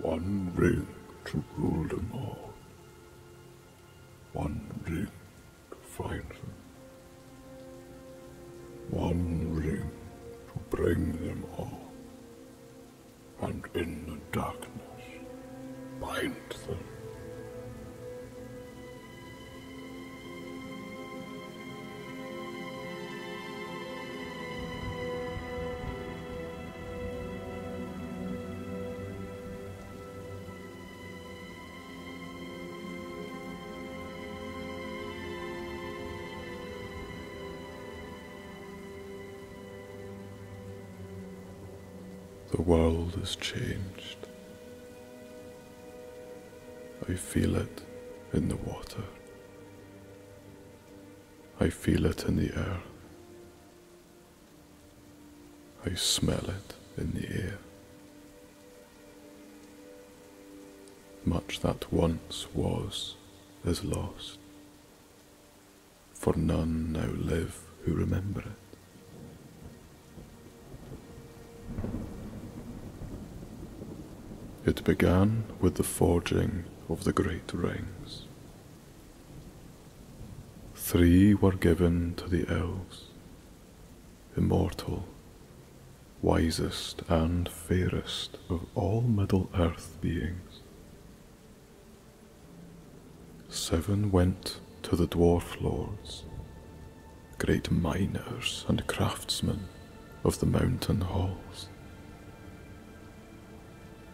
One ring to rule them all. One ring to find them. One ring to bring them all. And in the darkness, bind them. The world has changed. I feel it in the water. I feel it in the air. I smell it in the air. Much that once was is lost, for none now live who remember it. It began with the forging of the great rings. Three were given to the elves, immortal, wisest and fairest of all Middle-earth beings. Seven went to the dwarf lords, great miners and craftsmen of the mountain halls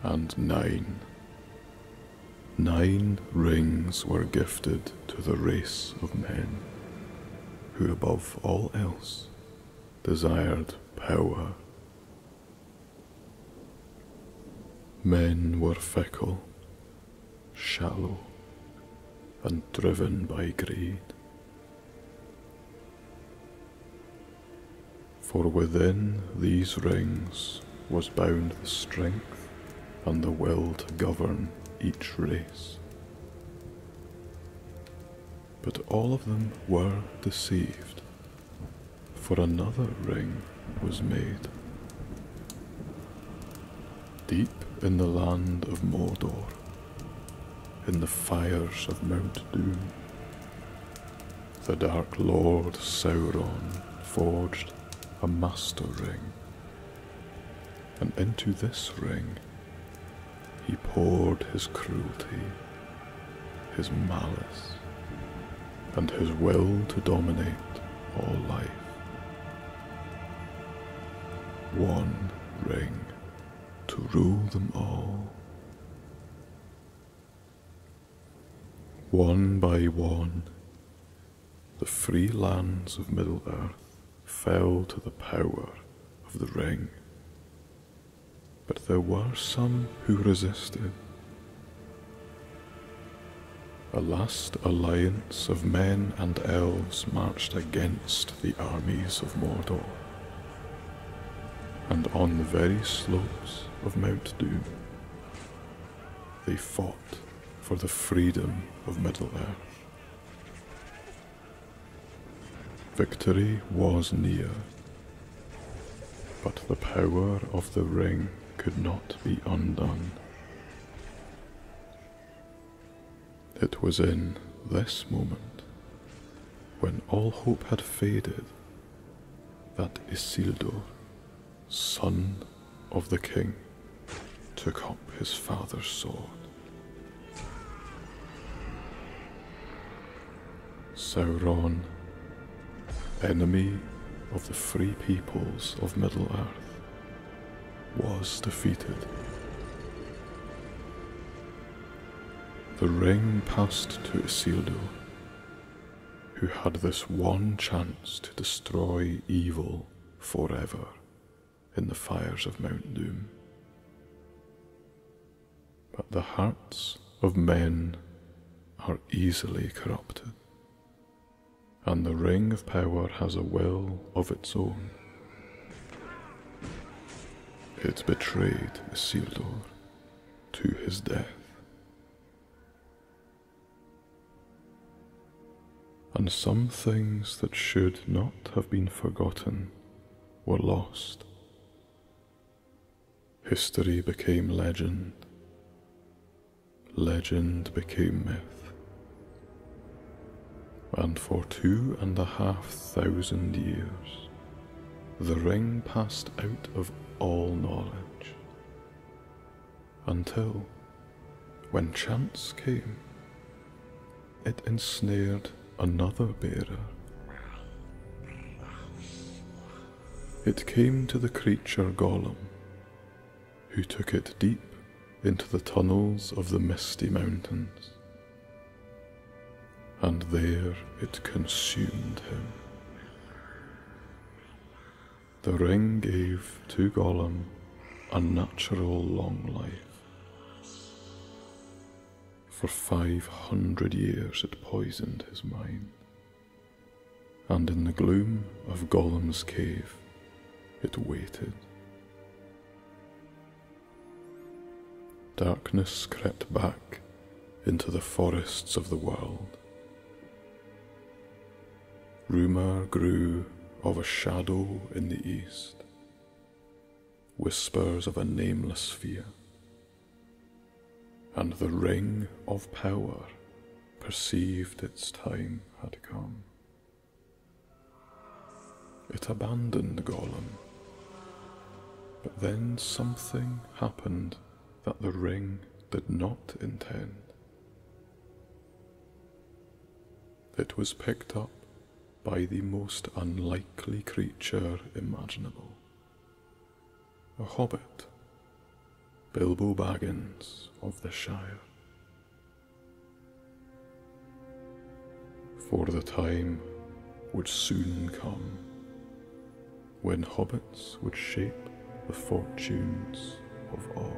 and nine. Nine rings were gifted to the race of men, who above all else desired power. Men were fickle, shallow, and driven by greed. For within these rings was bound the strength and the will to govern each race. But all of them were deceived, for another ring was made. Deep in the land of Mordor, in the fires of Mount Doom, the Dark Lord Sauron forged a master ring, and into this ring he poured his cruelty, his malice, and his will to dominate all life. One ring to rule them all. One by one, the free lands of Middle Earth fell to the power of the ring. But there were some who resisted. A last alliance of men and elves marched against the armies of Mordor and on the very slopes of Mount Doom, they fought for the freedom of Middle-earth. Victory was near, but the power of the ring could not be undone. It was in this moment, when all hope had faded that Isildur, son of the king, took up his father's sword. Sauron, enemy of the free peoples of Middle-earth, was defeated. The ring passed to Isildur, who had this one chance to destroy evil forever in the fires of Mount Doom. But the hearts of men are easily corrupted, and the Ring of Power has a will of its own. It betrayed Isildur to his death. And some things that should not have been forgotten were lost. History became legend. Legend became myth. And for two and a half thousand years, the ring passed out of all knowledge. Until, when chance came, it ensnared another bearer. It came to the creature Gollum, who took it deep into the tunnels of the Misty Mountains and there it consumed him. The ring gave to Gollum a natural long life. For 500 years it poisoned his mind, and in the gloom of Gollum's cave it waited. Darkness crept back into the forests of the world. Rumour grew of a shadow in the east, whispers of a nameless fear, and the ring of power perceived its time had come. It abandoned Gollum, but then something happened that the ring did not intend. It was picked up by the most unlikely creature imaginable a hobbit, Bilbo Baggins of the Shire. For the time would soon come when hobbits would shape the fortunes of all.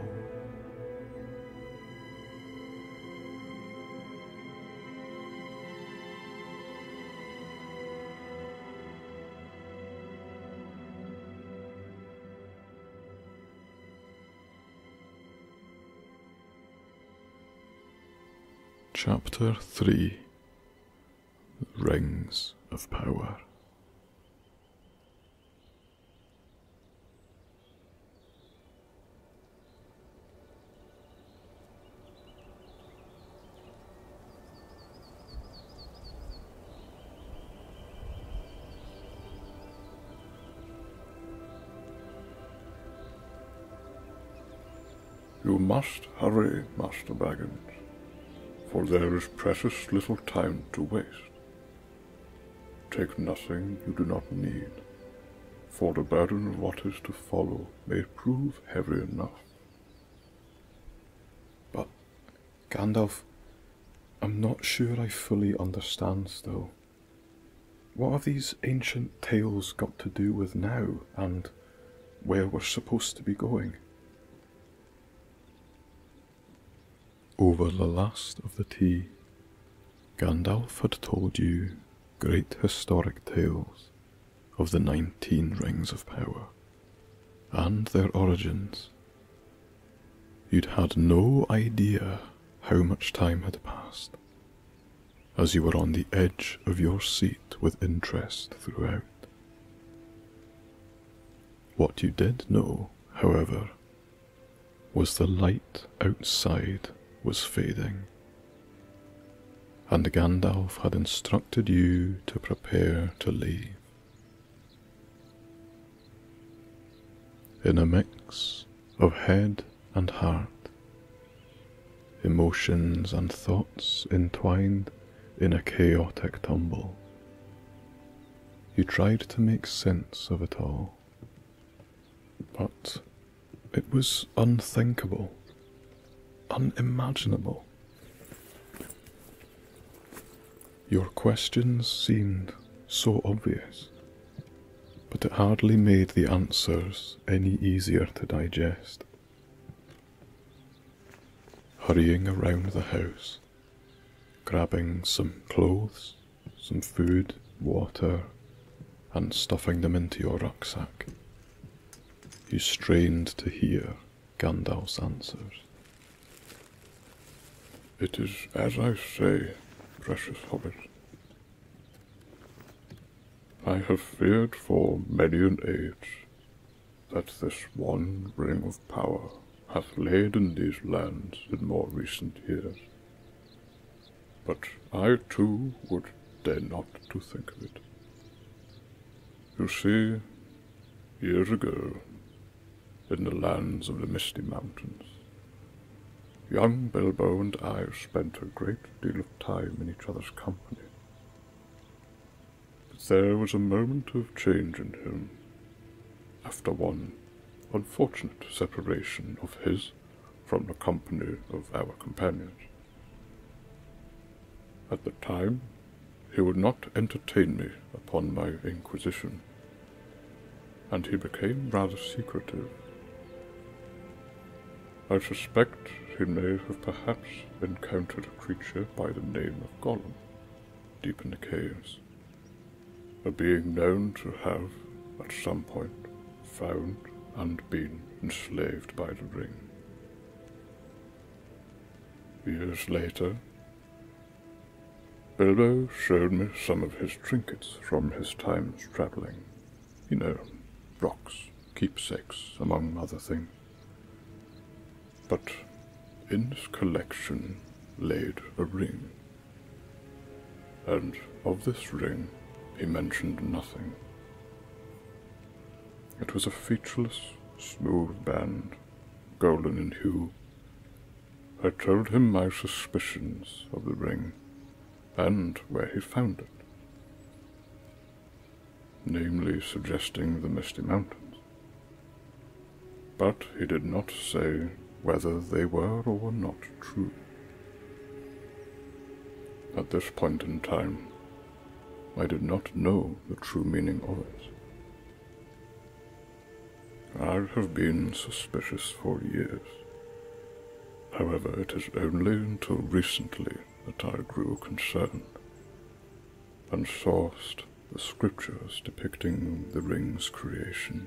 Chapter 3 rings of power. You must hurry, Master Baggins for there is precious little time to waste. Take nothing you do not need, for the burden of what is to follow may prove heavy enough. But, Gandalf, I'm not sure I fully understand still. What have these ancient tales got to do with now and where we're supposed to be going? Over the last of the tea, Gandalf had told you great historic tales of the nineteen rings of power and their origins. You'd had no idea how much time had passed, as you were on the edge of your seat with interest throughout. What you did know, however, was the light outside was fading, and Gandalf had instructed you to prepare to leave. In a mix of head and heart, emotions and thoughts entwined in a chaotic tumble. You tried to make sense of it all, but it was unthinkable, unimaginable. Your questions seemed so obvious, but it hardly made the answers any easier to digest hurrying around the house, grabbing some clothes, some food, water, and stuffing them into your rucksack. You strained to hear Gandalf's answers. It is as I say, precious hobbit. I have feared for many an age that this one ring of power hath laid in these lands in more recent years. But I too would dare not to think of it. You see, years ago, in the lands of the Misty Mountains, young Bilbo and I spent a great deal of time in each other's company but there was a moment of change in him. After one unfortunate separation of his from the company of our companions. At the time, he would not entertain me upon my inquisition, and he became rather secretive. I suspect he may have perhaps encountered a creature by the name of Gollum, deep in the caves, a being known to have, at some point, found and been enslaved by the ring. Years later, Bilbo showed me some of his trinkets from his times travelling. You know, rocks, keepsakes, among other things but in his collection laid a ring. And of this ring he mentioned nothing. It was a featureless, smooth band, golden in hue. I told him my suspicions of the ring, and where he found it namely suggesting the Misty Mountains. But he did not say whether they were or were not true. At this point in time, I did not know the true meaning of it. I have been suspicious for years. However, it is only until recently that I grew concerned and sourced the scriptures depicting the ring's creation.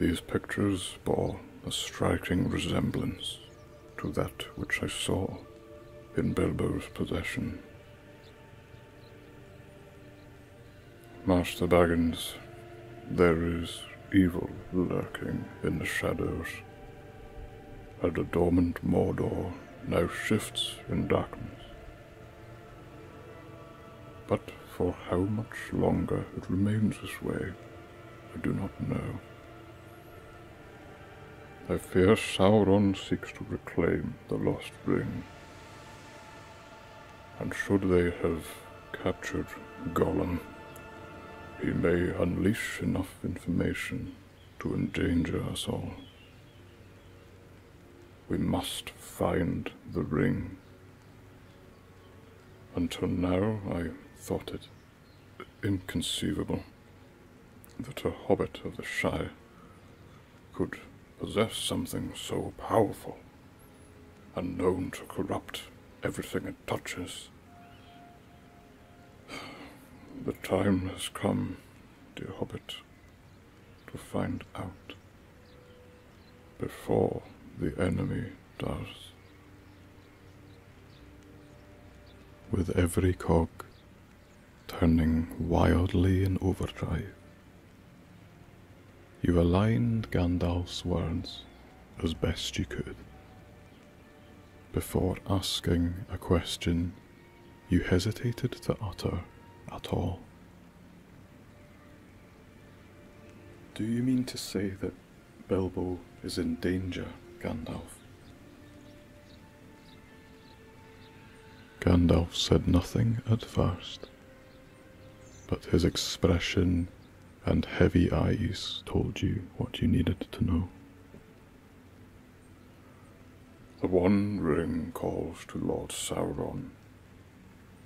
These pictures bore a striking resemblance to that which I saw in Bilbo's possession. Master Baggins, there is evil lurking in the shadows, where the dormant Mordor now shifts in darkness. But for how much longer it remains this way, I do not know. I fear Sauron seeks to reclaim the lost ring. And should they have captured Gollum, he may unleash enough information to endanger us all. We must find the ring. Until now, I thought it inconceivable that a hobbit of the Shire could possess something so powerful and known to corrupt everything it touches. The time has come, dear hobbit, to find out before the enemy does. With every cog turning wildly in overdrive, you aligned Gandalf's words as best you could before asking a question you hesitated to utter at all. Do you mean to say that Belbo is in danger, Gandalf? Gandalf said nothing at first, but his expression and heavy eyes told you what you needed to know. The One Ring calls to Lord Sauron,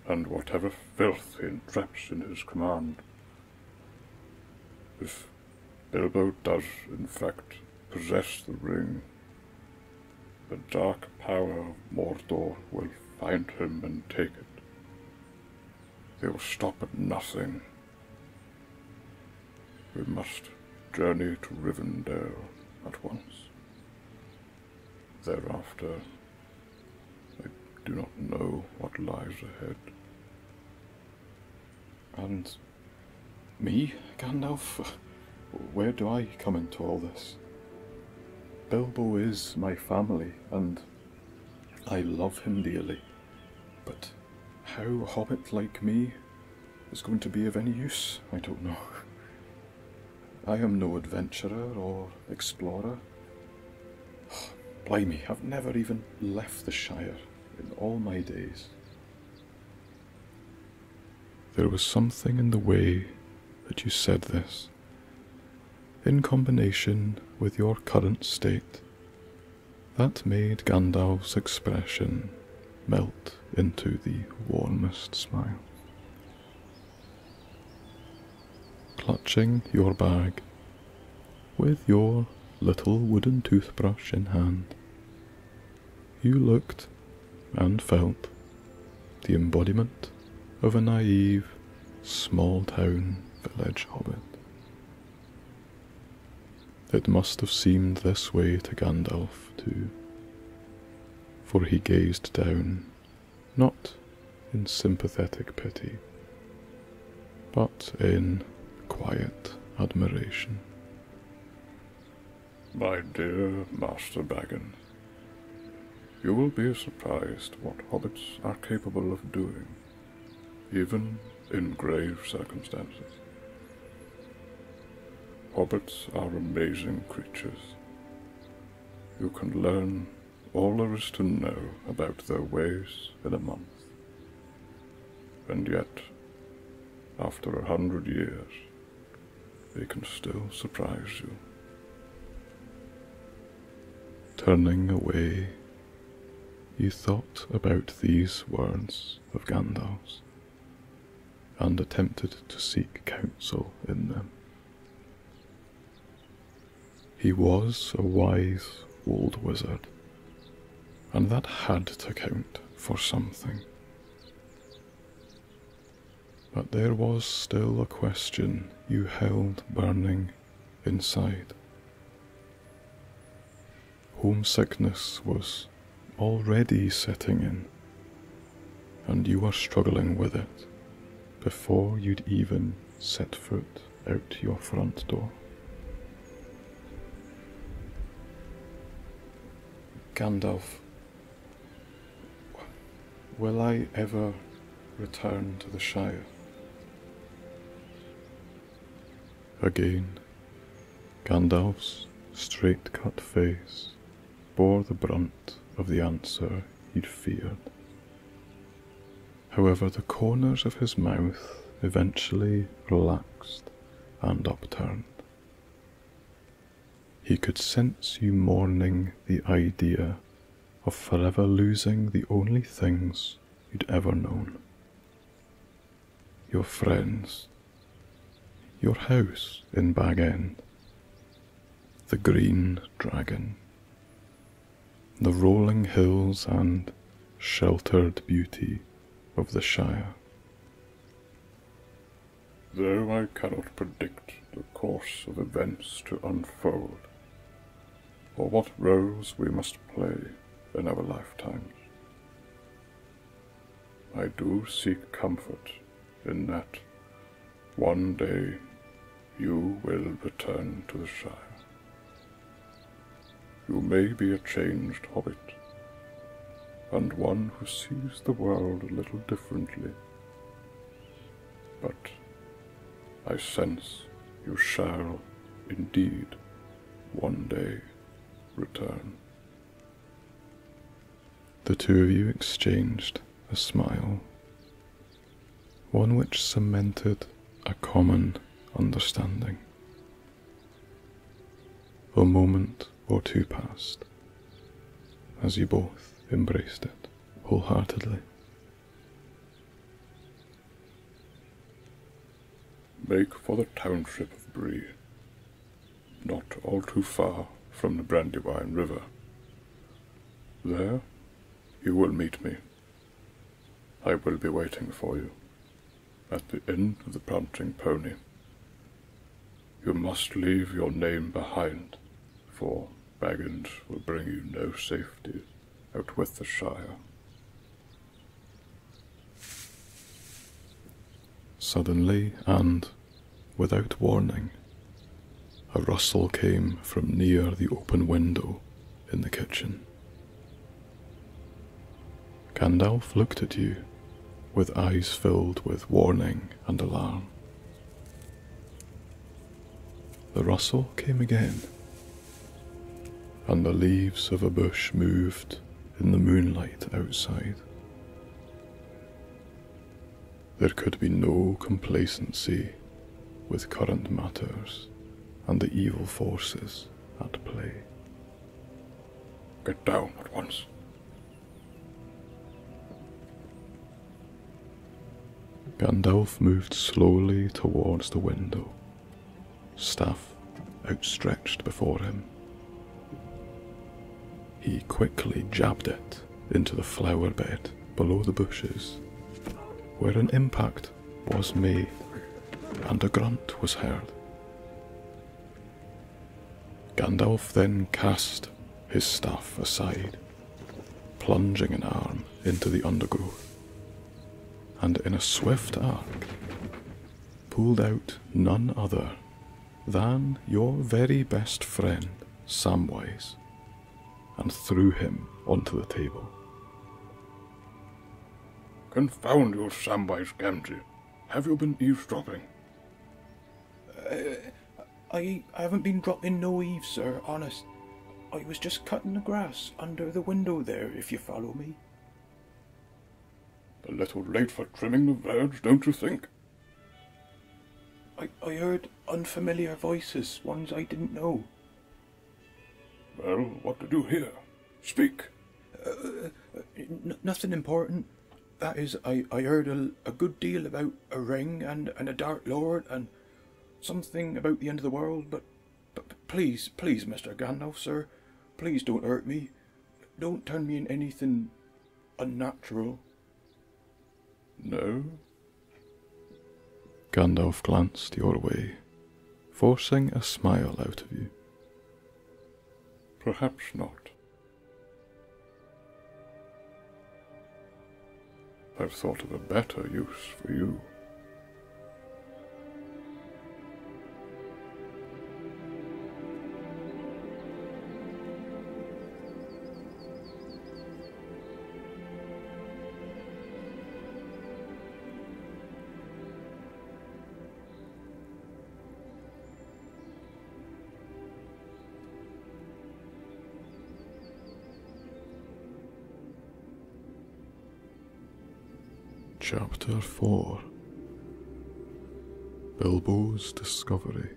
and whatever filth he entraps in his command. If Bilbo does, in fact, possess the ring, the dark power of Mordor will find him and take it. They will stop at nothing. We must journey to Rivendell at once. Thereafter, I do not know what lies ahead. And me, Gandalf? Where do I come into all this? Bilbo is my family, and I love him dearly. But how hobbit like me is going to be of any use, I don't know. I am no adventurer or explorer. Blimey, I've never even left the Shire in all my days. There was something in the way that you said this, in combination with your current state, that made Gandalf's expression melt into the warmest smile. Clutching your bag with your little wooden toothbrush in hand, you looked and felt the embodiment of a naive small town village hobbit. It must have seemed this way to Gandalf too for he gazed down, not in sympathetic pity, but in quiet admiration. My dear Master Baggins, you will be surprised what hobbits are capable of doing, even in grave circumstances. Hobbits are amazing creatures. You can learn all there is to know about their ways in a month. And yet, after a hundred years, they can still surprise you. Turning away, he thought about these words of Gandalf's and attempted to seek counsel in them. He was a wise old wizard, and that had to count for something. But there was still a question you held burning inside. Homesickness was already setting in, and you are struggling with it before you'd even set foot out your front door. Gandalf, will I ever return to the Shire? Again, Gandalf's straight cut face bore the brunt of the answer he'd feared. However, the corners of his mouth eventually relaxed and upturned. He could sense you mourning the idea of forever losing the only things you'd ever known your friends your house in Bag End, the Green Dragon, the rolling hills and sheltered beauty of the Shire. Though I cannot predict the course of events to unfold, or what roles we must play in our lifetimes, I do seek comfort in that one day you will return to the Shire. You may be a changed hobbit, and one who sees the world a little differently, but I sense you shall indeed one day return. The two of you exchanged a smile, one which cemented a common understanding. A moment or two passed as you both embraced it wholeheartedly. Make for the township of Bree not all too far from the Brandywine River. There you will meet me. I will be waiting for you at the inn of the Prancing Pony. You must leave your name behind, for Baggins will bring you no safety out with the Shire. Suddenly, and Without warning, a rustle came from near the open window in the kitchen. Gandalf looked at you with eyes filled with warning and alarm. The rustle came again, and the leaves of a bush moved in the moonlight outside. There could be no complacency with current matters and the evil forces at play. Get down at once. Gandalf moved slowly towards the window, staff outstretched before him. He quickly jabbed it into the flower bed below the bushes, where an impact was made and a grunt was heard. Gandalf then cast his staff aside, plunging an arm into the undergrowth, and in a swift arc pulled out none other than your very best friend, Samwise, and threw him onto the table. Confound you, Samwise Gamgee. Have you been eavesdropping? Uh, I, I haven't been dropping no eaves, sir, honest. I was just cutting the grass under the window there, if you follow me. A little late for trimming the verge, don't you think? I, I heard unfamiliar voices, ones I didn't know. Well, what to do here? Speak. Uh, uh, nothing important. That is, I, I heard a, a good deal about a ring and, and a Dark Lord and something about the end of the world, but, but, please, please, Mr. Gandalf, sir, please don't hurt me. Don't turn me in anything unnatural. No? Gandalf glanced your way, forcing a smile out of you. Perhaps not. I've thought of a better use for you. Chapter 4 Bilbo's Discovery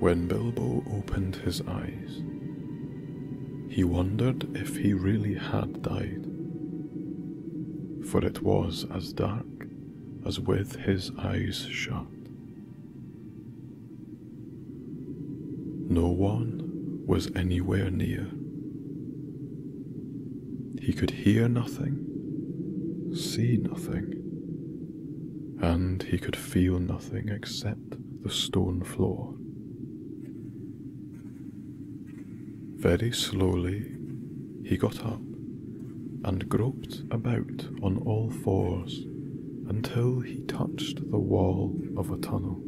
When Bilbo opened his eyes, he wondered if he really had died, for it was as dark as with his eyes shut. No one was anywhere near, he could hear nothing, see nothing, and he could feel nothing except the stone floor. Very slowly, he got up and groped about on all fours until he touched the wall of a tunnel.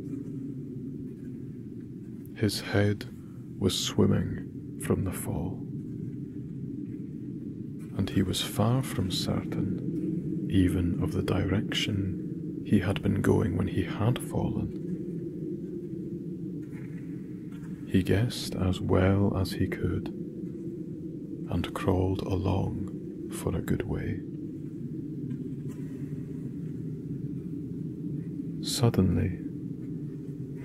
His head was swimming from the fall. And he was far from certain, even of the direction he had been going when he had fallen. He guessed as well as he could, and crawled along for a good way. Suddenly,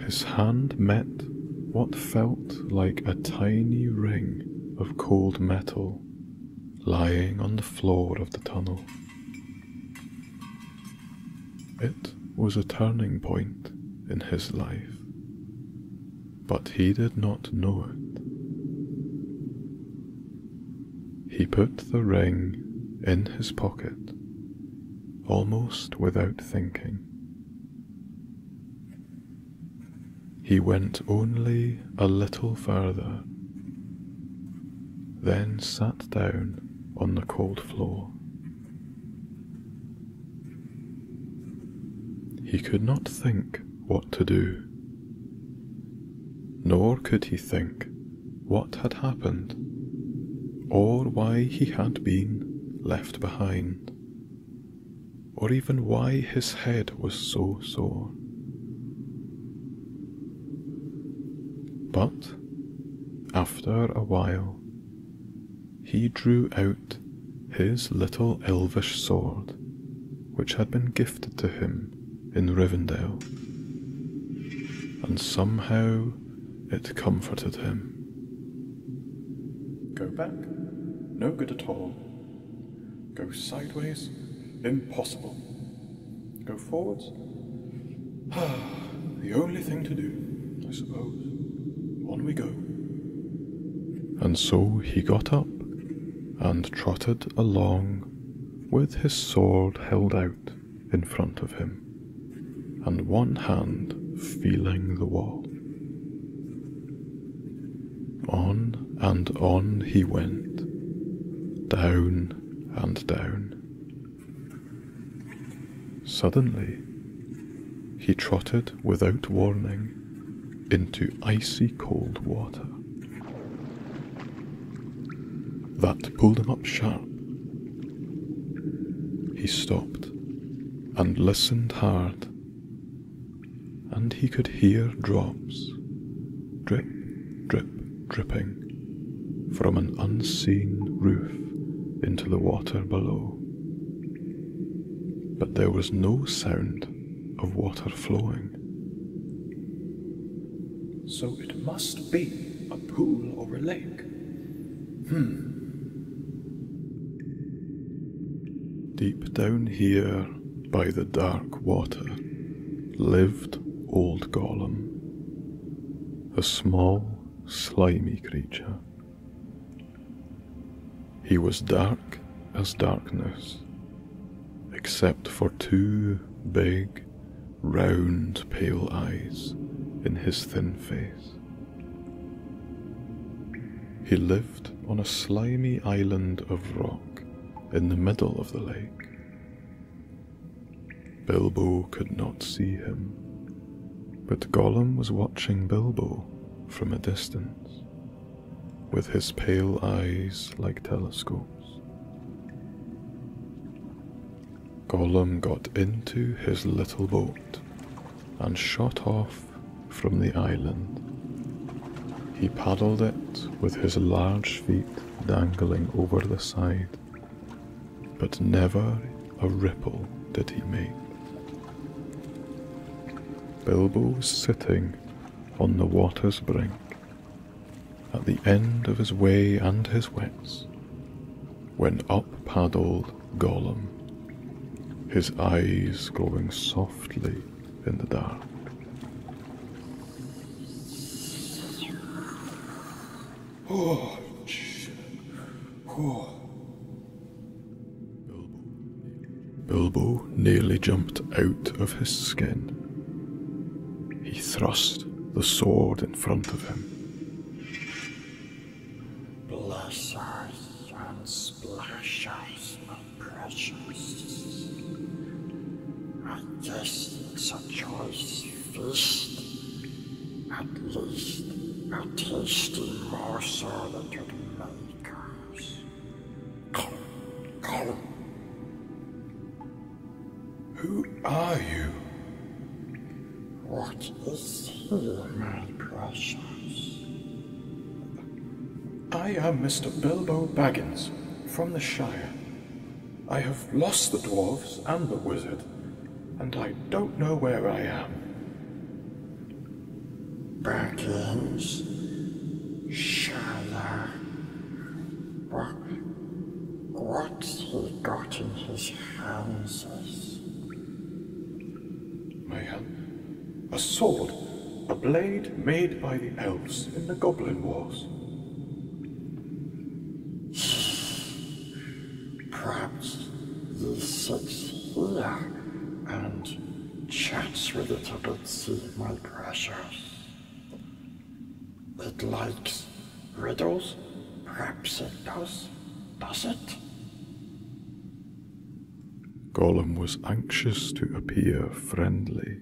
his hand met what felt like a tiny ring of cold metal lying on the floor of the tunnel. It was a turning point in his life, but he did not know it. He put the ring in his pocket almost without thinking. He went only a little further, then sat down on the cold floor. He could not think what to do, nor could he think what had happened or why he had been left behind, or even why his head was so sore. But, after a while, he drew out his little elvish sword, which had been gifted to him in Rivendell, and somehow it comforted him. Go back? No good at all. Go sideways? Impossible. Go forwards? the only thing to do, I suppose. On we go. And so he got up and trotted along with his sword held out in front of him and one hand feeling the wall. On and on he went, down and down. Suddenly, he trotted without warning into icy cold water. That pulled him up sharp. He stopped and listened hard, and he could hear drops drip, drip, dripping from an unseen roof into the water below. But there was no sound of water flowing. So it must be a pool or a lake. Hmm. Deep down here, by the dark water, lived Old Gollum, a small, slimy creature. He was dark as darkness, except for two big, round, pale eyes in his thin face. He lived on a slimy island of rock in the middle of the lake. Bilbo could not see him, but Gollum was watching Bilbo from a distance, with his pale eyes like telescopes. Gollum got into his little boat and shot off from the island. He paddled it with his large feet dangling over the side, but never a ripple did he make. Bilbo was sitting on the water's brink, at the end of his way and his wits, when up paddled Gollum, his eyes glowing softly in the dark. Oh, Bilbo nearly jumped out of his skin. He thrust the sword in front of him. Bless us and splash us with precious. At this it's a choice feast, at least a tasty morsel that could make us. Come, come. Who are you? What is here, my precious? I am Mr. Bilbo Baggins, from the Shire. I have lost the dwarves and the wizard, and I don't know where I am. Baggins? Shire? What? What's he got in his hands? My hand, A sword. A blade made by the elves in the Goblin Wars. Perhaps it sits here and chats with the a bit, see my precious. It likes riddles. Perhaps it does. Does it? Gollum was anxious to appear friendly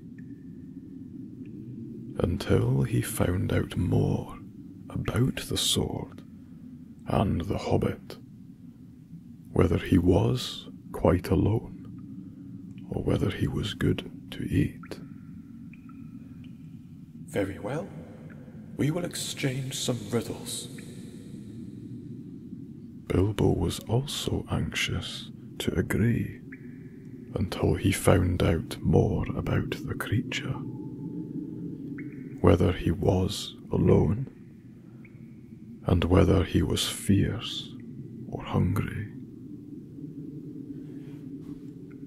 until he found out more about the sword and the hobbit, whether he was quite alone or whether he was good to eat. Very well, we will exchange some riddles. Bilbo was also anxious to agree until he found out more about the creature. Whether he was alone, and whether he was fierce or hungry.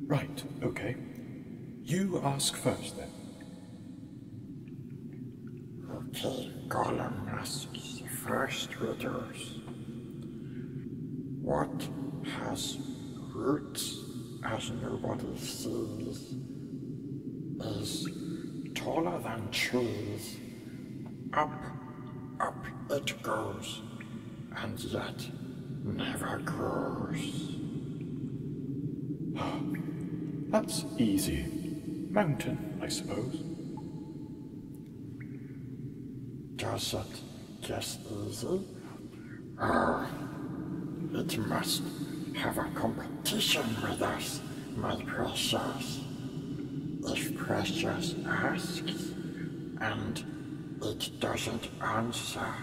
Right, okay. You ask first then who gave Golomras the first readers. What has roots as nobody sees is taller than trees. Up, up it goes, and yet never grows. That's easy. Mountain, I suppose. Does it just easy? Oh, it must have a competition with us, my precious. If precious asks and it doesn't answer,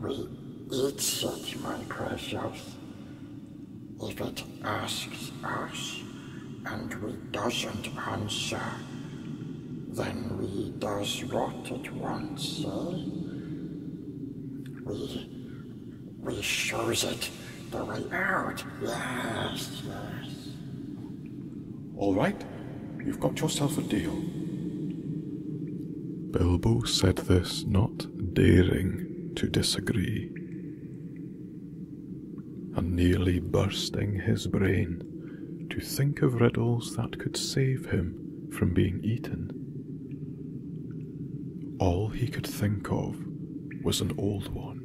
we eats it, my precious. If it asks us and we doesn't answer, then we does what it wants, We, we shows it the way out, yes, yes. All right, you've got yourself a deal. Bilbo said this not daring to disagree and nearly bursting his brain to think of riddles that could save him from being eaten. All he could think of was an old one.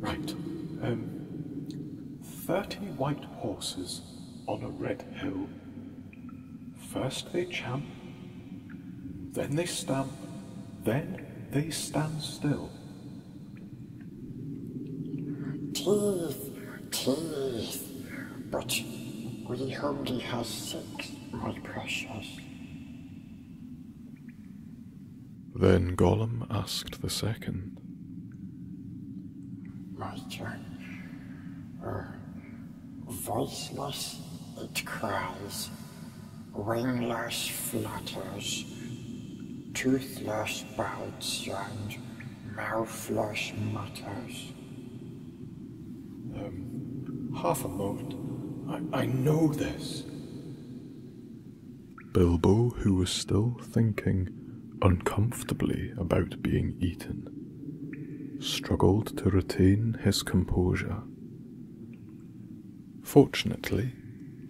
Right, um, 30 white horses on a red hill First they champ, then they stamp, then they stand still. Teeth, teeth, but we only have six, my precious. Then Gollum asked the second. My turn. Er, Voiceless it cries, wingless flutters, toothless bites and mouthless mutters. Um, half a moment. I, I know this. Bilbo, who was still thinking uncomfortably about being eaten, struggled to retain his composure. Fortunately,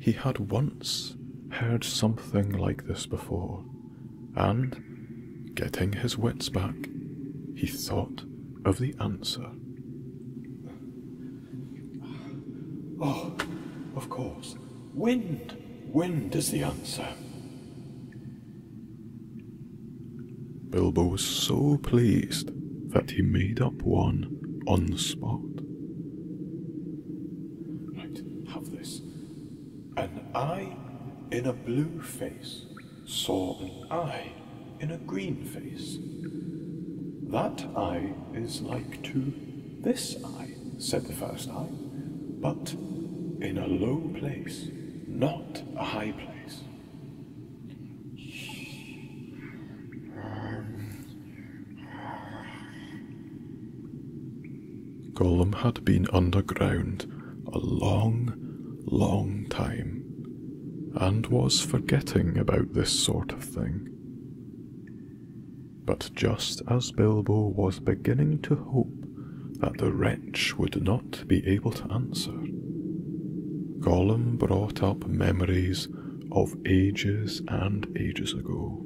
he had once heard something like this before, and, getting his wits back, he thought of the answer. Oh, of course, wind. Wind is the answer. Bilbo was so pleased that he made up one on the spot. Right, have this. An eye in a blue face saw an eye in a green face. That eye is like to this eye, said the first eye, but in a low place, not a high place. Gollum had been underground a long, long time and was forgetting about this sort of thing. But just as Bilbo was beginning to hope that the wretch would not to be able to answer. Gollum brought up memories of ages and ages ago.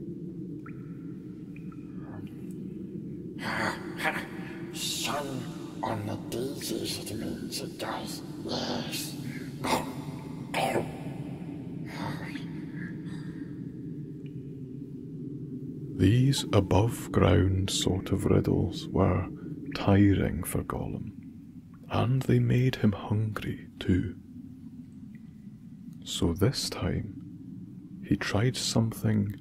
Sun on the daisies, it means it does, yes. Oh. These above ground sort of riddles were tiring for Gollum and they made him hungry too. So this time he tried something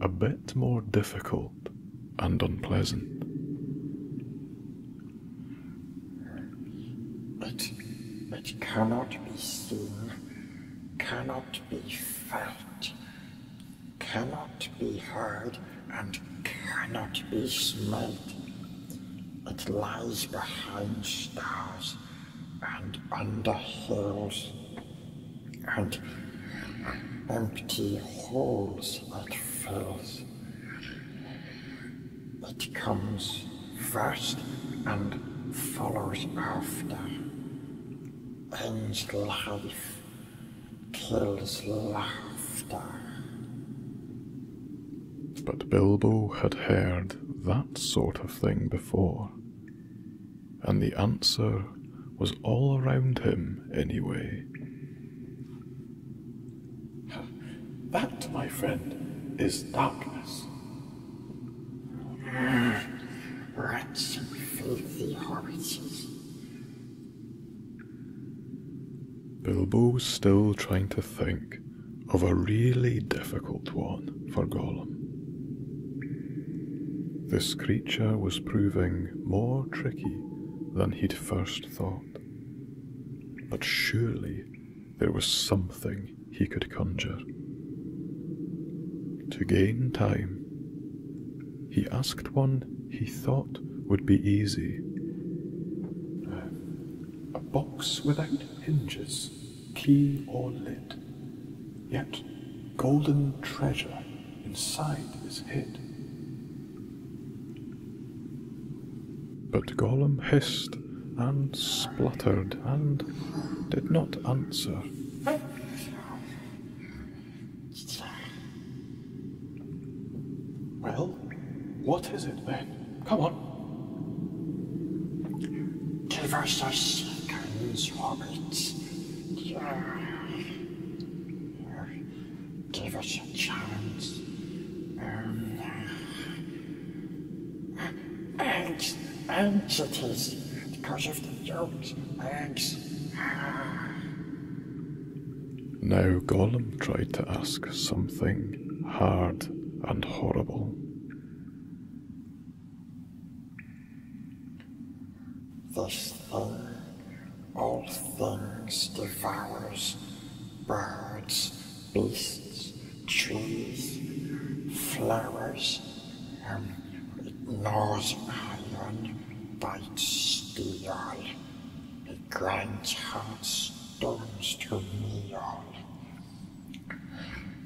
a bit more difficult and unpleasant. It, it cannot be seen, cannot be felt, cannot be heard and cannot be smelt. It lies behind stars and under hills and empty holes it fills. It comes first and follows after, ends life Till his laughter. But Bilbo had heard that sort of thing before, and the answer was all around him anyway. That, my friend, is darkness. Rats and filthy hobbits. Bilbo was still trying to think of a really difficult one for Gollum. This creature was proving more tricky than he'd first thought. But surely there was something he could conjure. To gain time, he asked one he thought would be easy. A box without hinges, key or lid, yet golden treasure inside is hid. But Gollum hissed and spluttered and did not answer. Well, what is it then? Come on. Give us a second, Robert. Give us a chance. Um, because of the yolks, eggs. Ah. Now Gollum tried to ask something hard and horrible. This thing, all things devours birds, beasts, trees, flowers, and it gnaws and bites steel. It grinds hard stones to meal.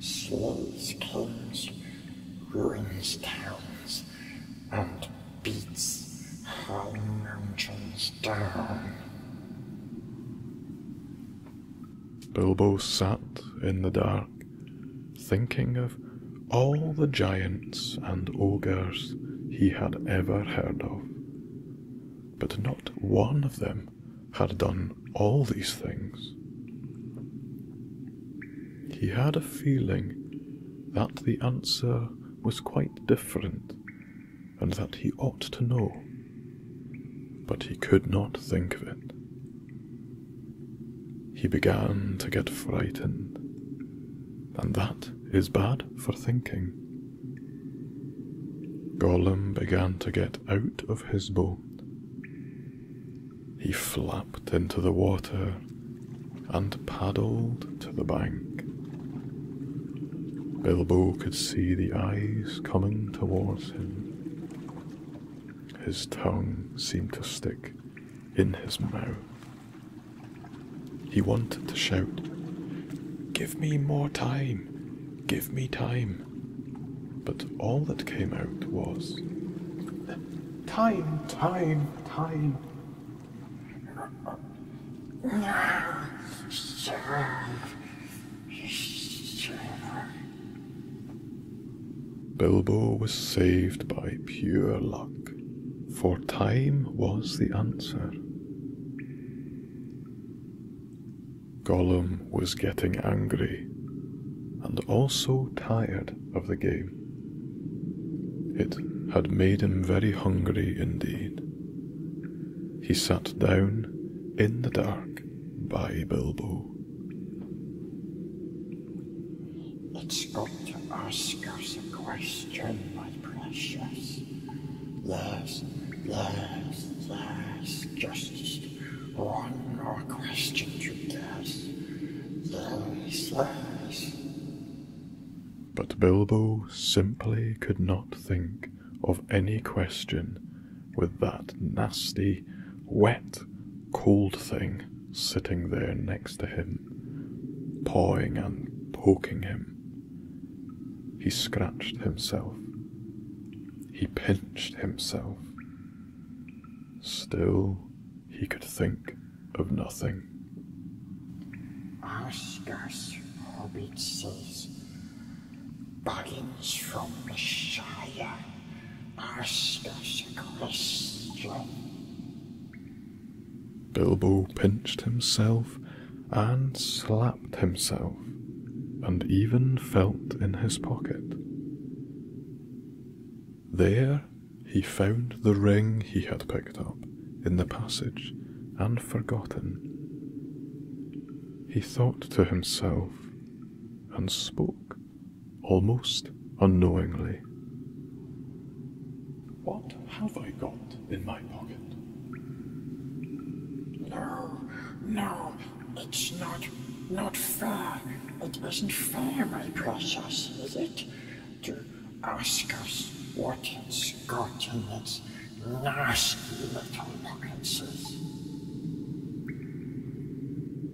Slays kings, ruins towns, and beats high mountains down. Bilbo sat in the dark, thinking of all the giants and ogres he had ever heard of. But not one of them had done all these things. He had a feeling that the answer was quite different and that he ought to know, but he could not think of it. He began to get frightened, and that is bad for thinking. Gollum began to get out of his boat. He flapped into the water and paddled to the bank. Bilbo could see the eyes coming towards him. His tongue seemed to stick in his mouth. He wanted to shout, Give me more time! Give me time! But all that came out was, Time, time, time. Bilbo was saved by pure luck, for time was the answer. Gollum was getting angry and also tired of the game. It had made him very hungry indeed. He sat down in the dark by Bilbo. It's got to ask us a question, my precious. There's, there's, there's just one more question to guess. There's, there's. But Bilbo simply could not think of any question with that nasty, wet, cold thing sitting there next to him, pawing and poking him. He scratched himself. He pinched himself. Still, he could think of nothing. Asgar's hobbit says, Buggins from the Shire, Asgar's a Christian. Bilbo pinched himself and slapped himself, and even felt in his pocket. There he found the ring he had picked up in the passage and forgotten. He thought to himself and spoke almost unknowingly. What have I got in my pocket. No, no, it's not, not fair. It isn't fair, my precious, is it? To ask us what it's got in its nasty little pockets.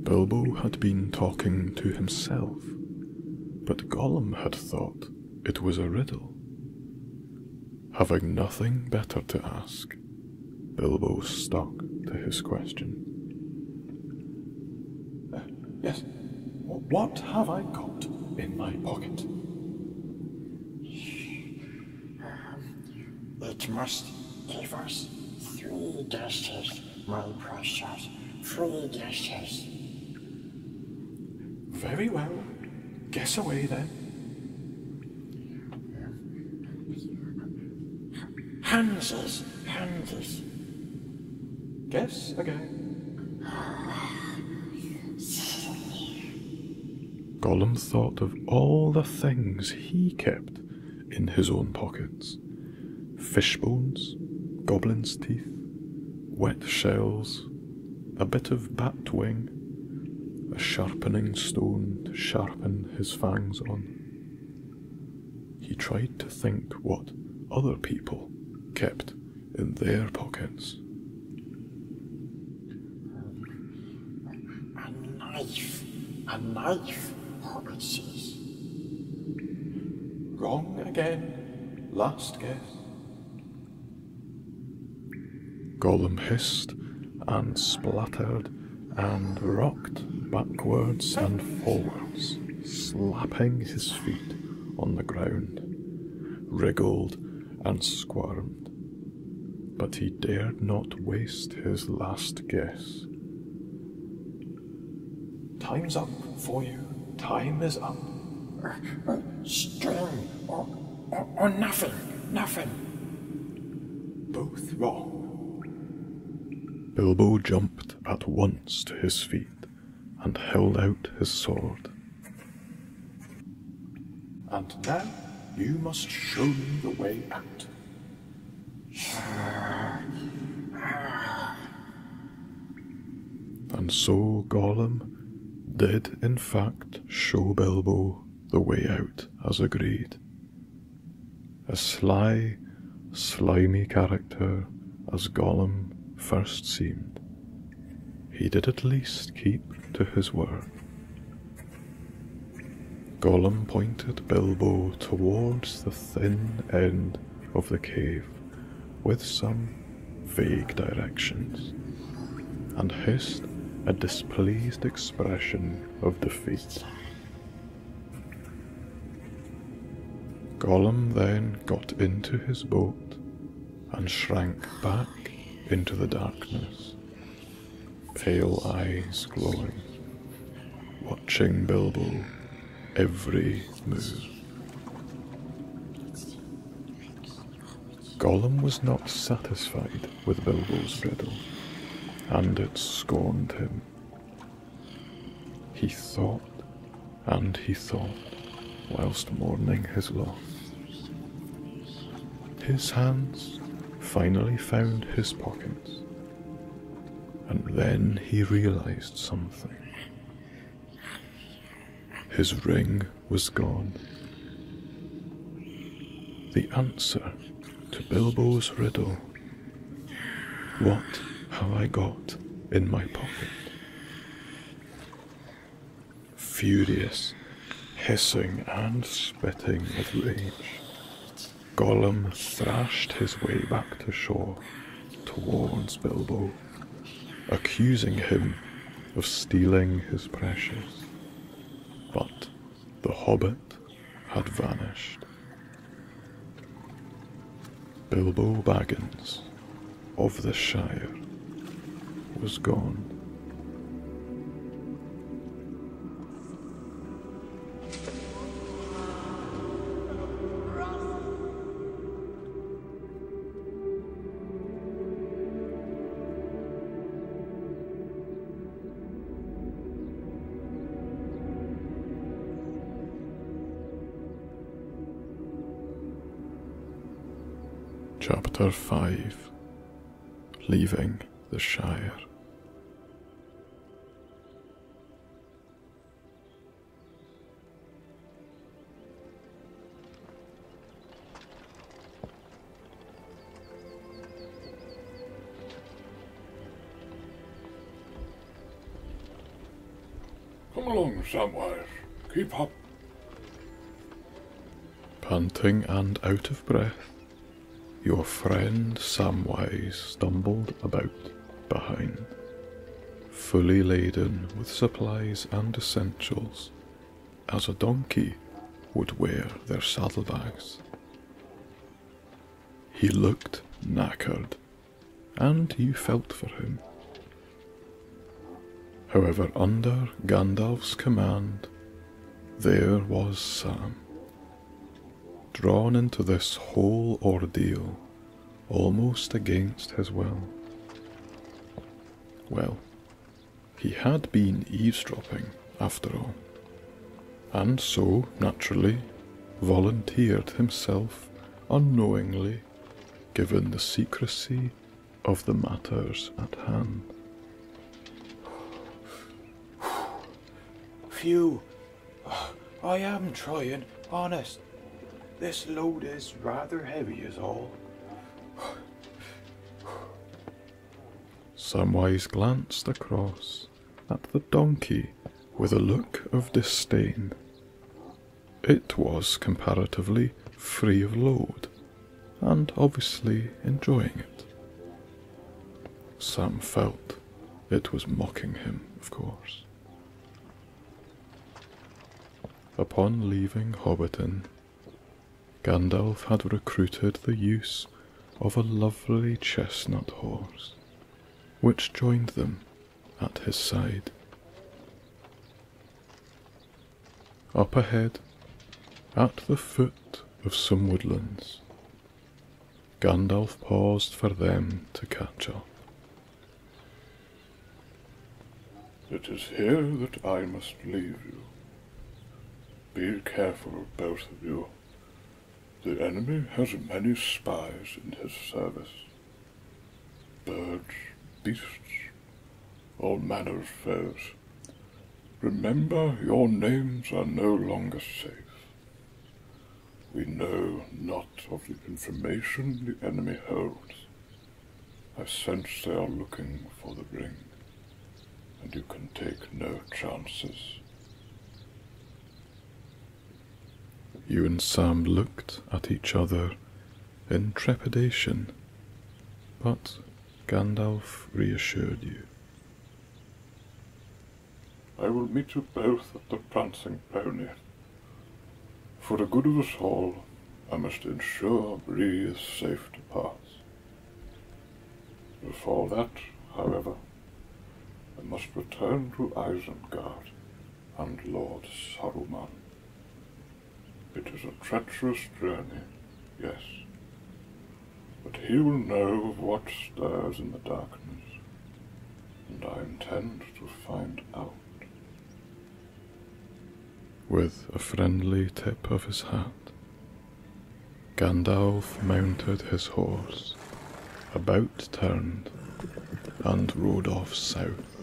Bilbo had been talking to himself, but Gollum had thought it was a riddle. Having nothing better to ask, Bilbo stuck to his question. Uh, yes, what have I got in my pocket? It um, must give us three dishes, my precious, three dishes. Very well, Guess away then. Hansas, Hansas. Guess again. Gollum thought of all the things he kept in his own pockets fish bones, goblin's teeth, wet shells, a bit of bat wing, a sharpening stone to sharpen his fangs on. He tried to think what other people kept in their pockets. A knife, a knife, Hobbit says. Wrong again, last guess. Golem hissed and spluttered, and rocked backwards and forwards, slapping his feet on the ground, wriggled and squirmed. But he dared not waste his last guess. Time's up for you. Time is up. Er, er, String or, nothing. Nothing. Both wrong. Bilbo jumped at once to his feet and held out his sword. And now you must show me the way out. And so Gollum did in fact show Bilbo the way out as agreed. A sly, slimy character as Gollum first seemed, he did at least keep to his word. Gollum pointed Bilbo towards the thin end of the cave with some vague directions and hissed a displeased expression of defeat. Gollum then got into his boat and shrank back into the darkness, pale eyes glowing, watching Bilbo every move. Gollum was not satisfied with Bilbo's riddle, and it scorned him. He thought and he thought whilst mourning his loss. His hands finally found his pockets, and then he realized something. His ring was gone. The answer to Bilbo's riddle What have I got in my pocket? Furious, hissing and spitting with rage, Gollum thrashed his way back to shore towards Bilbo, accusing him of stealing his precious. But the hobbit had vanished. Bilbo Baggins of the Shire was gone. Chapter 5 Leaving the Shire. Come along, Samwise. Keep up. Panting and out of breath, your friend Samwise stumbled about behind, fully laden with supplies and essentials as a donkey would wear their saddlebags. He looked knackered, and you felt for him. However, under Gandalf's command, there was Sam, drawn into this whole ordeal almost against his will. Well, he had been eavesdropping, after all, and so, naturally, volunteered himself unknowingly, given the secrecy of the matters at hand. Phew! I am trying, honest. This load is rather heavy, is all. Samwise glanced across at the donkey with a look of disdain. It was comparatively free of load and obviously enjoying it. Sam felt it was mocking him, of course. Upon leaving Hobbiton, Gandalf had recruited the use of a lovely chestnut horse, which joined them at his side. Up ahead, at the foot of some woodlands, Gandalf paused for them to catch up. It is here that I must leave you. Be careful, both of you. The enemy has many spies in his service. Birds, beasts, all manner of foes. Remember, your names are no longer safe. We know not of the information the enemy holds. I sense they are looking for the ring and you can take no chances. You and Sam looked at each other in trepidation, but Gandalf reassured you. I will meet you both at the Prancing Pony. For the good of us all, I must ensure Bree is safe to pass. Before that, however, I must return to Isengard and Lord Saruman. It is a treacherous journey, yes, but he will know of what stirs in the darkness, and I intend to find out. With a friendly tip of his hat, Gandalf mounted his horse, about turned, and rode off south.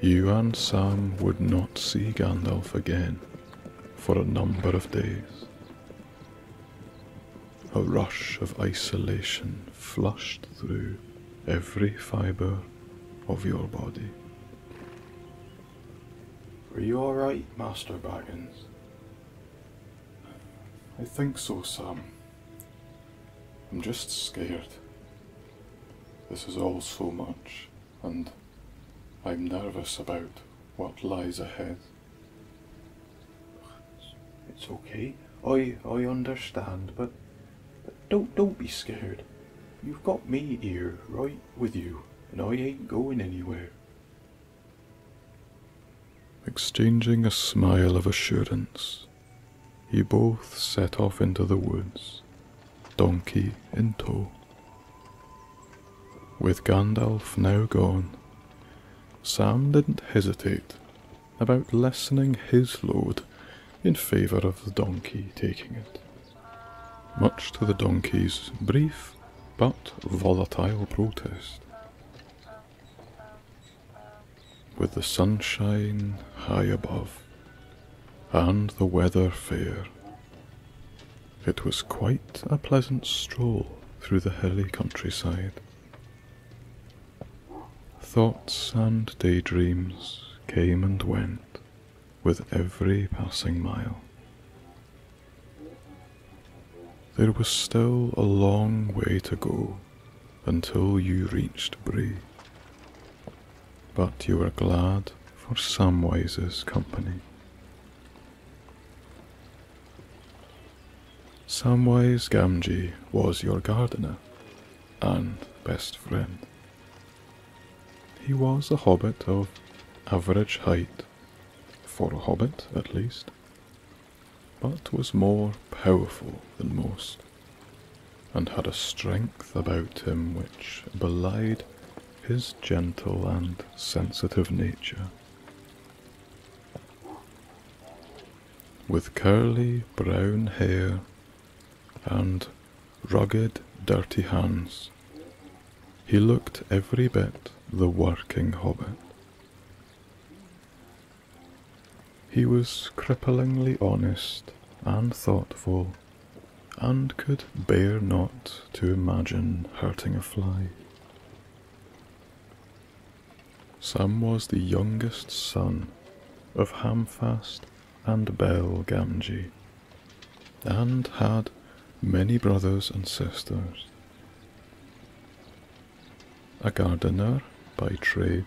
You and Sam would not see Gandalf again for a number of days. A rush of isolation flushed through every fibre of your body. Are you alright, Master Baggins? I think so, Sam. I'm just scared. This is all so much, and I'm nervous about what lies ahead. It's okay. I I understand, but, but don't don't be scared. You've got me here, right with you, and I ain't going anywhere. Exchanging a smile of assurance, he both set off into the woods, donkey in tow. With Gandalf now gone, Sam didn't hesitate about lessening his load in favour of the donkey taking it much to the donkey's brief but volatile protest. With the sunshine high above and the weather fair, it was quite a pleasant stroll through the hilly countryside. Thoughts and daydreams came and went with every passing mile. There was still a long way to go until you reached Bray, but you were glad for Samwise's company. Samwise Gamgee was your gardener and best friend. He was a hobbit of average height for a hobbit at least, but was more powerful than most, and had a strength about him which belied his gentle and sensitive nature. With curly brown hair and rugged, dirty hands, he looked every bit the working hobbit. He was cripplingly honest and thoughtful, and could bear not to imagine hurting a fly. Sam was the youngest son of Hamfast and Bel Gamgee, and had many brothers and sisters. A gardener by trade,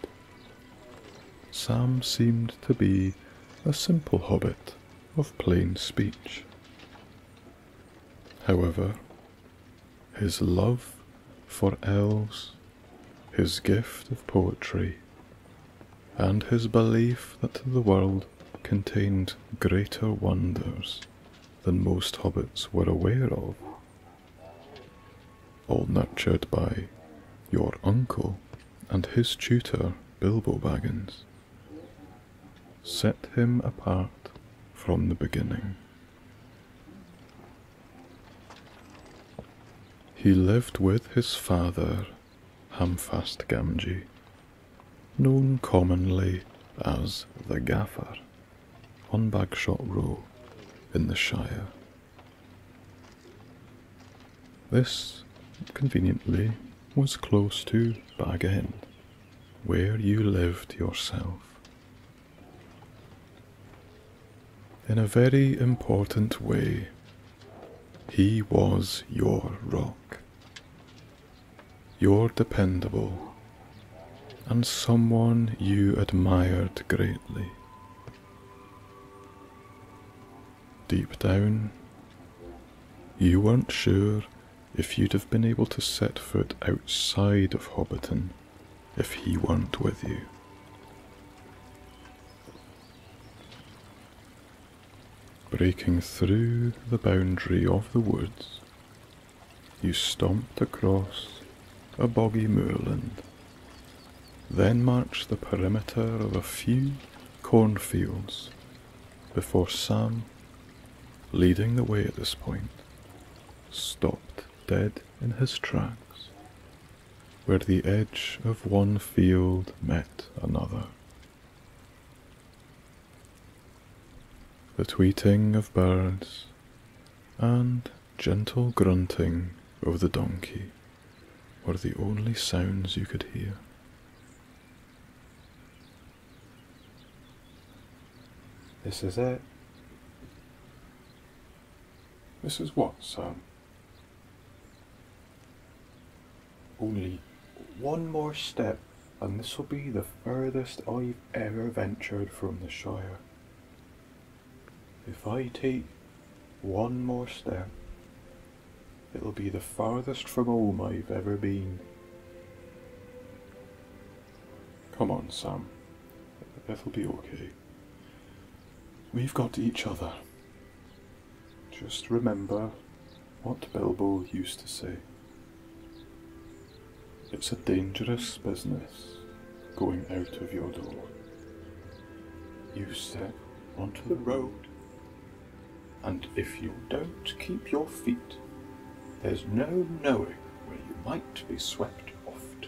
Sam seemed to be a simple hobbit of plain speech. However, his love for elves, his gift of poetry, and his belief that the world contained greater wonders than most hobbits were aware of. All nurtured by your uncle and his tutor, Bilbo Baggins, set him apart from the beginning. He lived with his father, Hamfast Gamgee, known commonly as the Gaffer, on Bagshot Row in the Shire. This, conveniently, was close to Bag End, where you lived yourself. In a very important way, he was your rock, you're dependable and someone you admired greatly. Deep down, you weren't sure if you'd have been able to set foot outside of Hobbiton if he weren't with you. Breaking through the boundary of the woods, you stomped across a boggy moorland, then marched the perimeter of a few cornfields before Sam, leading the way at this point, stopped dead in his tracks, where the edge of one field met another the tweeting of birds, and gentle grunting of the donkey were the only sounds you could hear. This is it. This is what, Sam? Only one more step and this will be the furthest I've ever ventured from the Shire. If I take one more step, it'll be the farthest from home I've ever been. Come on, Sam. It'll be okay. We've got each other. Just remember what Bilbo used to say. It's a dangerous business going out of your door. You step onto the road, and if you don't keep your feet, there's no knowing where you might be swept off to.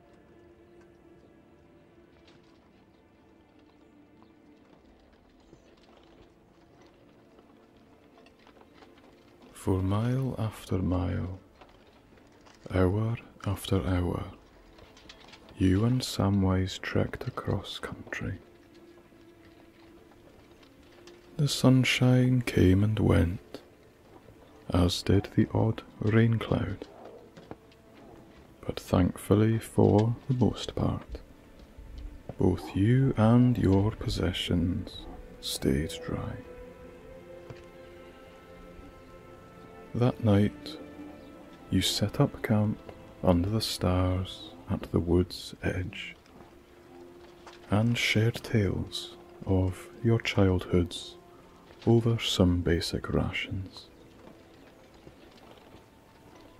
For mile after mile, hour after hour, you and Samwise trekked across country. The sunshine came and went, as did the odd rain cloud. But thankfully, for the most part, both you and your possessions stayed dry. That night, you set up camp under the stars at the wood's edge and shared tales of your childhood's over some basic rations.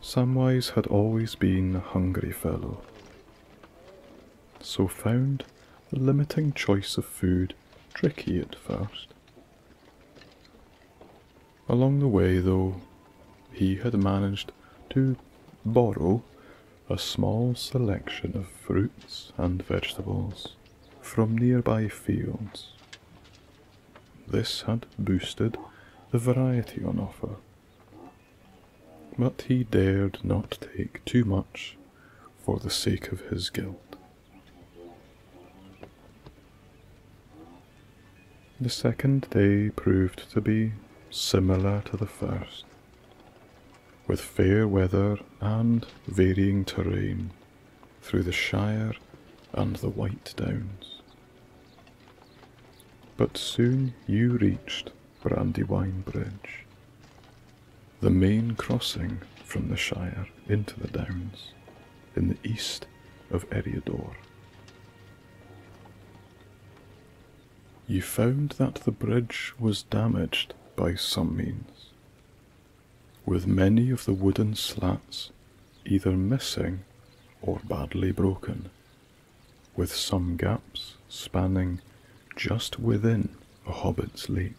Samwise had always been a hungry fellow, so found the limiting choice of food tricky at first. Along the way, though, he had managed to borrow a small selection of fruits and vegetables from nearby fields. This had boosted the variety on offer. But he dared not take too much for the sake of his guilt. The second day proved to be similar to the first, with fair weather and varying terrain through the Shire and the White Downs. But soon you reached Brandywine Bridge, the main crossing from the Shire into the Downs in the east of Eriador. You found that the bridge was damaged by some means, with many of the wooden slats either missing or badly broken, with some gaps spanning just within a hobbit's leap.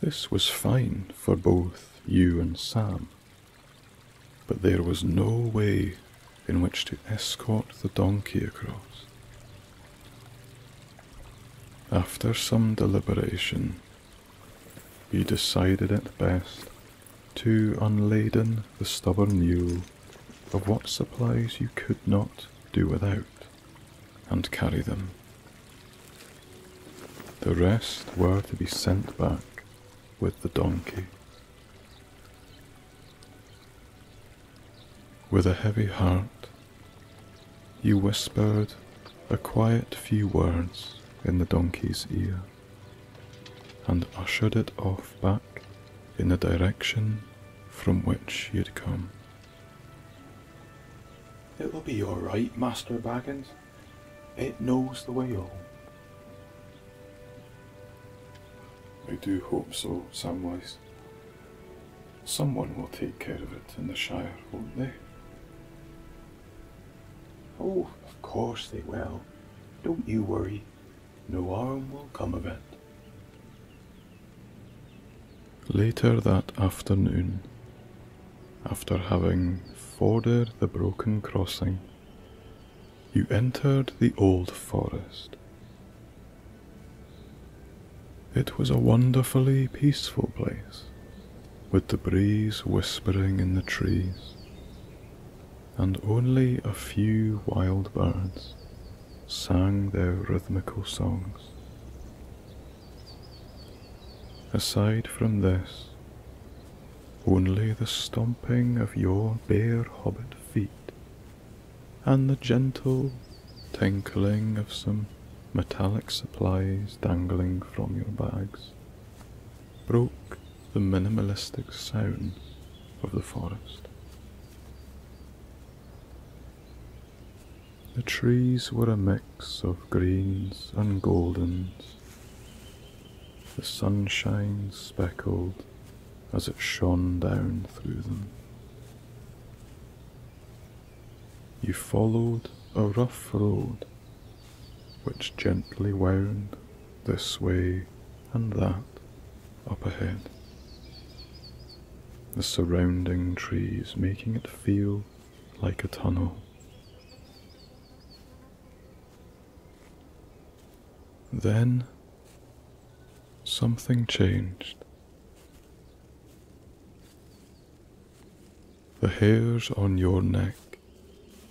This was fine for both you and Sam, but there was no way in which to escort the donkey across. After some deliberation, he decided at best to unladen the stubborn mule of what supplies you could not do without, and carry them. The rest were to be sent back with the donkey. With a heavy heart, you whispered a quiet few words in the donkey's ear and ushered it off back in the direction from which he had come. It will be all right, Master Baggins. It knows the way home. I do hope so, Samwise. Someone will take care of it in the Shire, won't they? Oh, of course they will. Don't you worry. No harm will come of it. Later that afternoon, after having forded the broken crossing, you entered the old forest, it was a wonderfully peaceful place, with the breeze whispering in the trees, and only a few wild birds sang their rhythmical songs. Aside from this, only the stomping of your bare hobbit feet and the gentle tinkling of some metallic supplies dangling from your bags broke the minimalistic sound of the forest. The trees were a mix of greens and goldens, the sunshine speckled as it shone down through them. You followed a rough road which gently wound this way and that up ahead, the surrounding trees making it feel like a tunnel. Then something changed. The hairs on your neck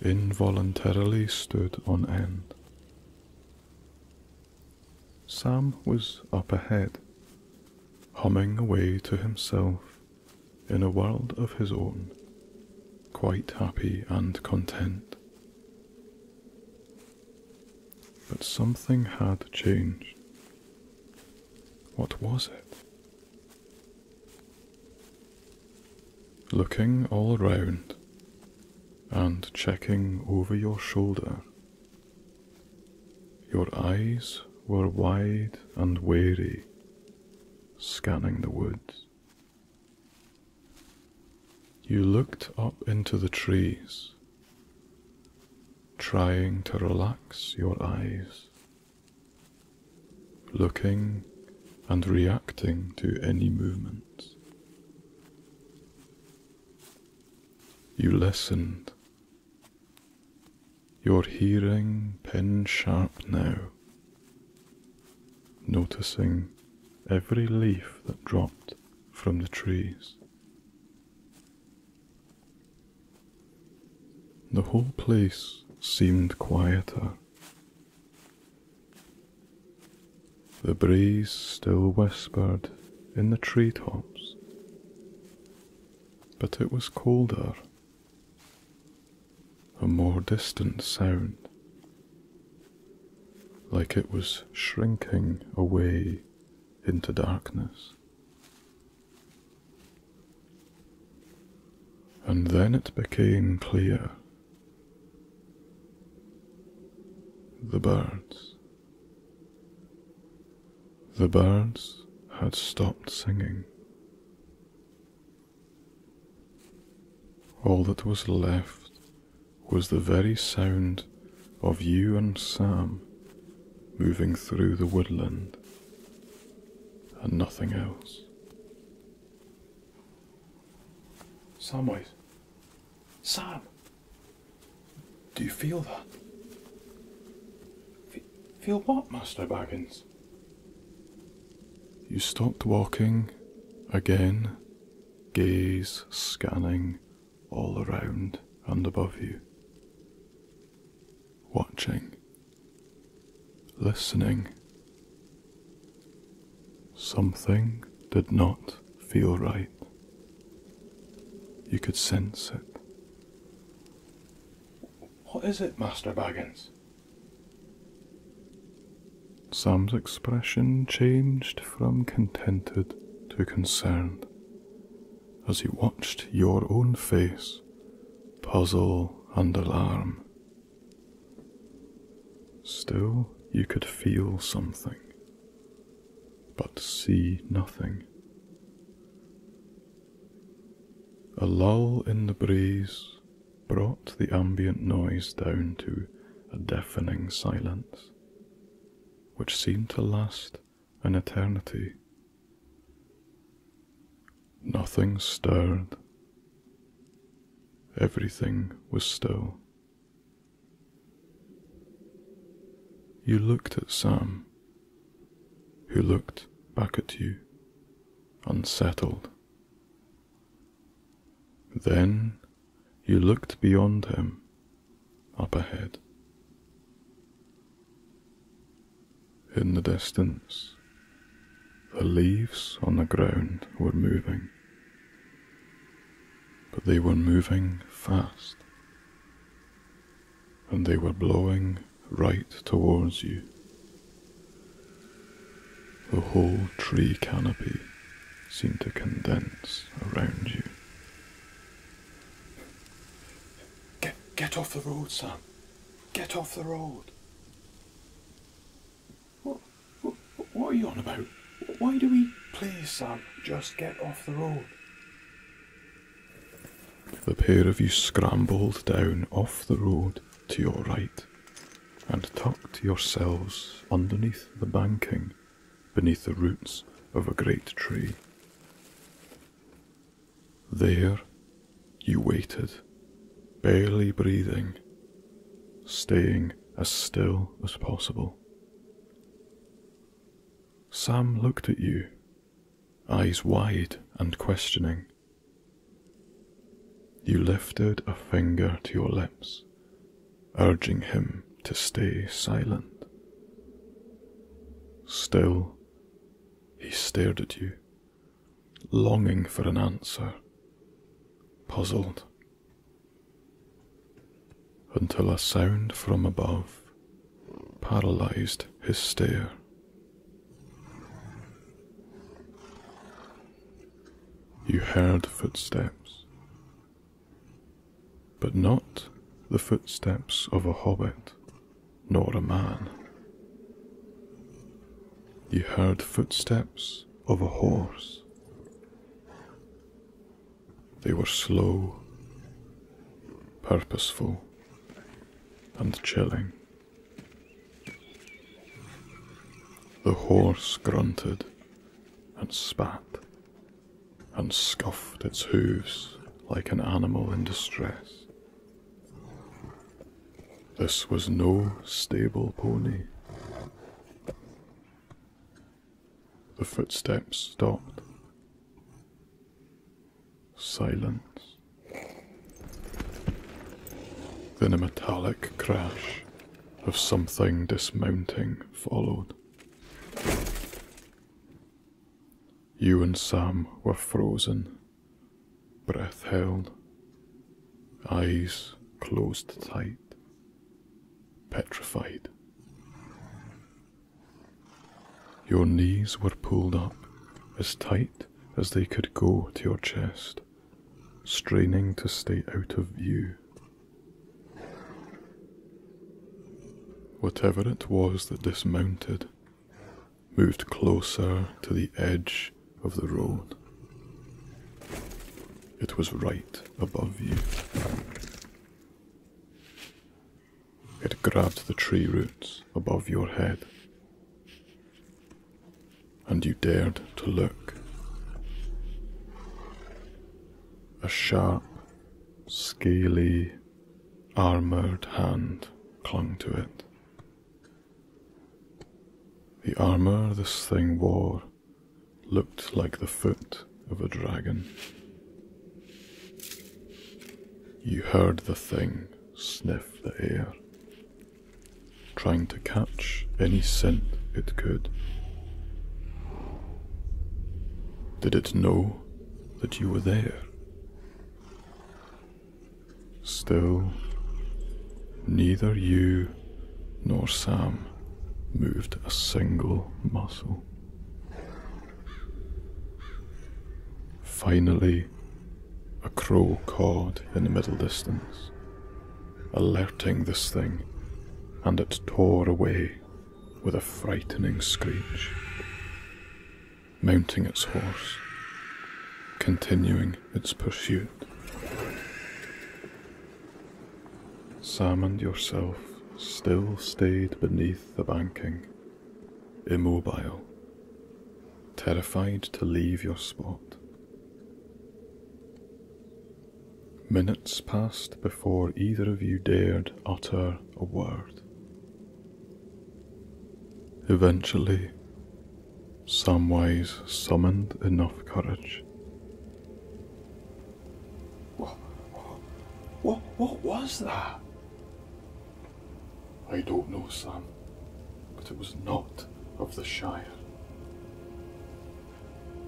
involuntarily stood on end. Sam was up ahead, humming away to himself in a world of his own, quite happy and content. But something had changed. What was it? Looking all round and checking over your shoulder, your eyes were wide and wary, scanning the woods. You looked up into the trees, trying to relax your eyes looking and reacting to any movement, You listened. Your hearing pin sharp now, noticing every leaf that dropped from the trees, the whole place seemed quieter. The breeze still whispered in the tree tops, but it was colder, a more distant sound, like it was shrinking away into darkness. And then it became clear. The birds. The birds had stopped singing. All that was left was the very sound of you and Sam moving through the woodland and nothing else. Samwise. Sam! Do you feel that? feel what, Master Baggins? You stopped walking again, gaze scanning all around and above you watching, listening. Something did not feel right. You could sense it. What is it, Master Baggins? Sam's expression changed from contented to concerned as he watched your own face, puzzle and alarm. Still, you could feel something, but see nothing. A lull in the breeze brought the ambient noise down to a deafening silence, which seemed to last an eternity. Nothing stirred. Everything was still. You looked at Sam, who looked back at you, unsettled. Then you looked beyond him, up ahead. In the distance, the leaves on the ground were moving, but they were moving fast, and they were blowing right towards you. The whole tree canopy seemed to condense around you. Get, get off the road, Sam. Get off the road. What, what, are you on about? Why do we please, Sam? Just get off the road. The pair of you scrambled down off the road to your right and tucked yourselves underneath the banking beneath the roots of a great tree. There you waited, barely breathing, staying as still as possible. Sam looked at you, eyes wide and questioning. You lifted a finger to your lips, urging him to stay silent. Still, he stared at you, longing for an answer, puzzled, until a sound from above paralyzed his stare. You heard footsteps, but not the footsteps of a hobbit nor a man. You heard footsteps of a horse. They were slow, purposeful, and chilling. The horse grunted and spat and scuffed its hooves like an animal in distress. This was no stable pony. The footsteps stopped. Silence. Then a metallic crash of something dismounting followed. You and Sam were frozen Breath held, eyes closed tight, petrified. Your knees were pulled up as tight as they could go to your chest, straining to stay out of view. Whatever it was that dismounted, moved closer to the edge of the road. It was right above you. It grabbed the tree roots above your head, and you dared to look. A sharp, scaly, armoured hand clung to it. The armour this thing wore looked like the foot of a dragon. You heard the thing sniff the air, trying to catch any scent it could. Did it know that you were there? Still, neither you nor Sam moved a single muscle. Finally, a crow cawed in the middle distance, alerting this thing, and it tore away with a frightening screech mounting its horse, continuing its pursuit. Sam and yourself still stayed beneath the banking, immobile, terrified to leave your spot. Minutes passed before either of you dared utter a word. Eventually, Samwise summoned enough courage. What, what, what was that? I don't know, Sam, but it was not of the Shire.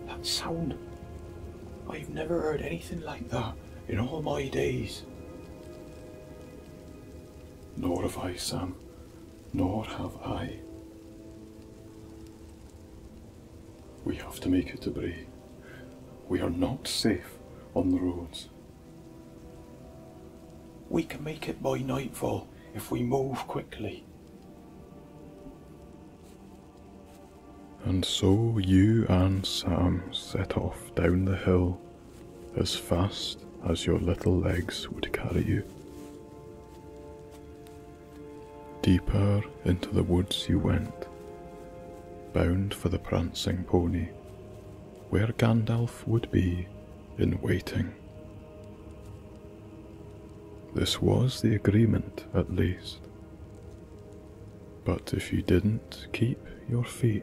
That sound. I've never heard anything like that in all my days. Nor have I, Sam, nor have I. We have to make it to Bray. We are not safe on the roads. We can make it by nightfall if we move quickly. And so you and Sam set off down the hill as fast as your little legs would carry you. Deeper into the woods you went, bound for the prancing pony, where Gandalf would be in waiting. This was the agreement, at least. But if you didn't keep your feet,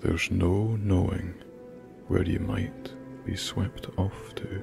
there's no knowing where you might be swept off to.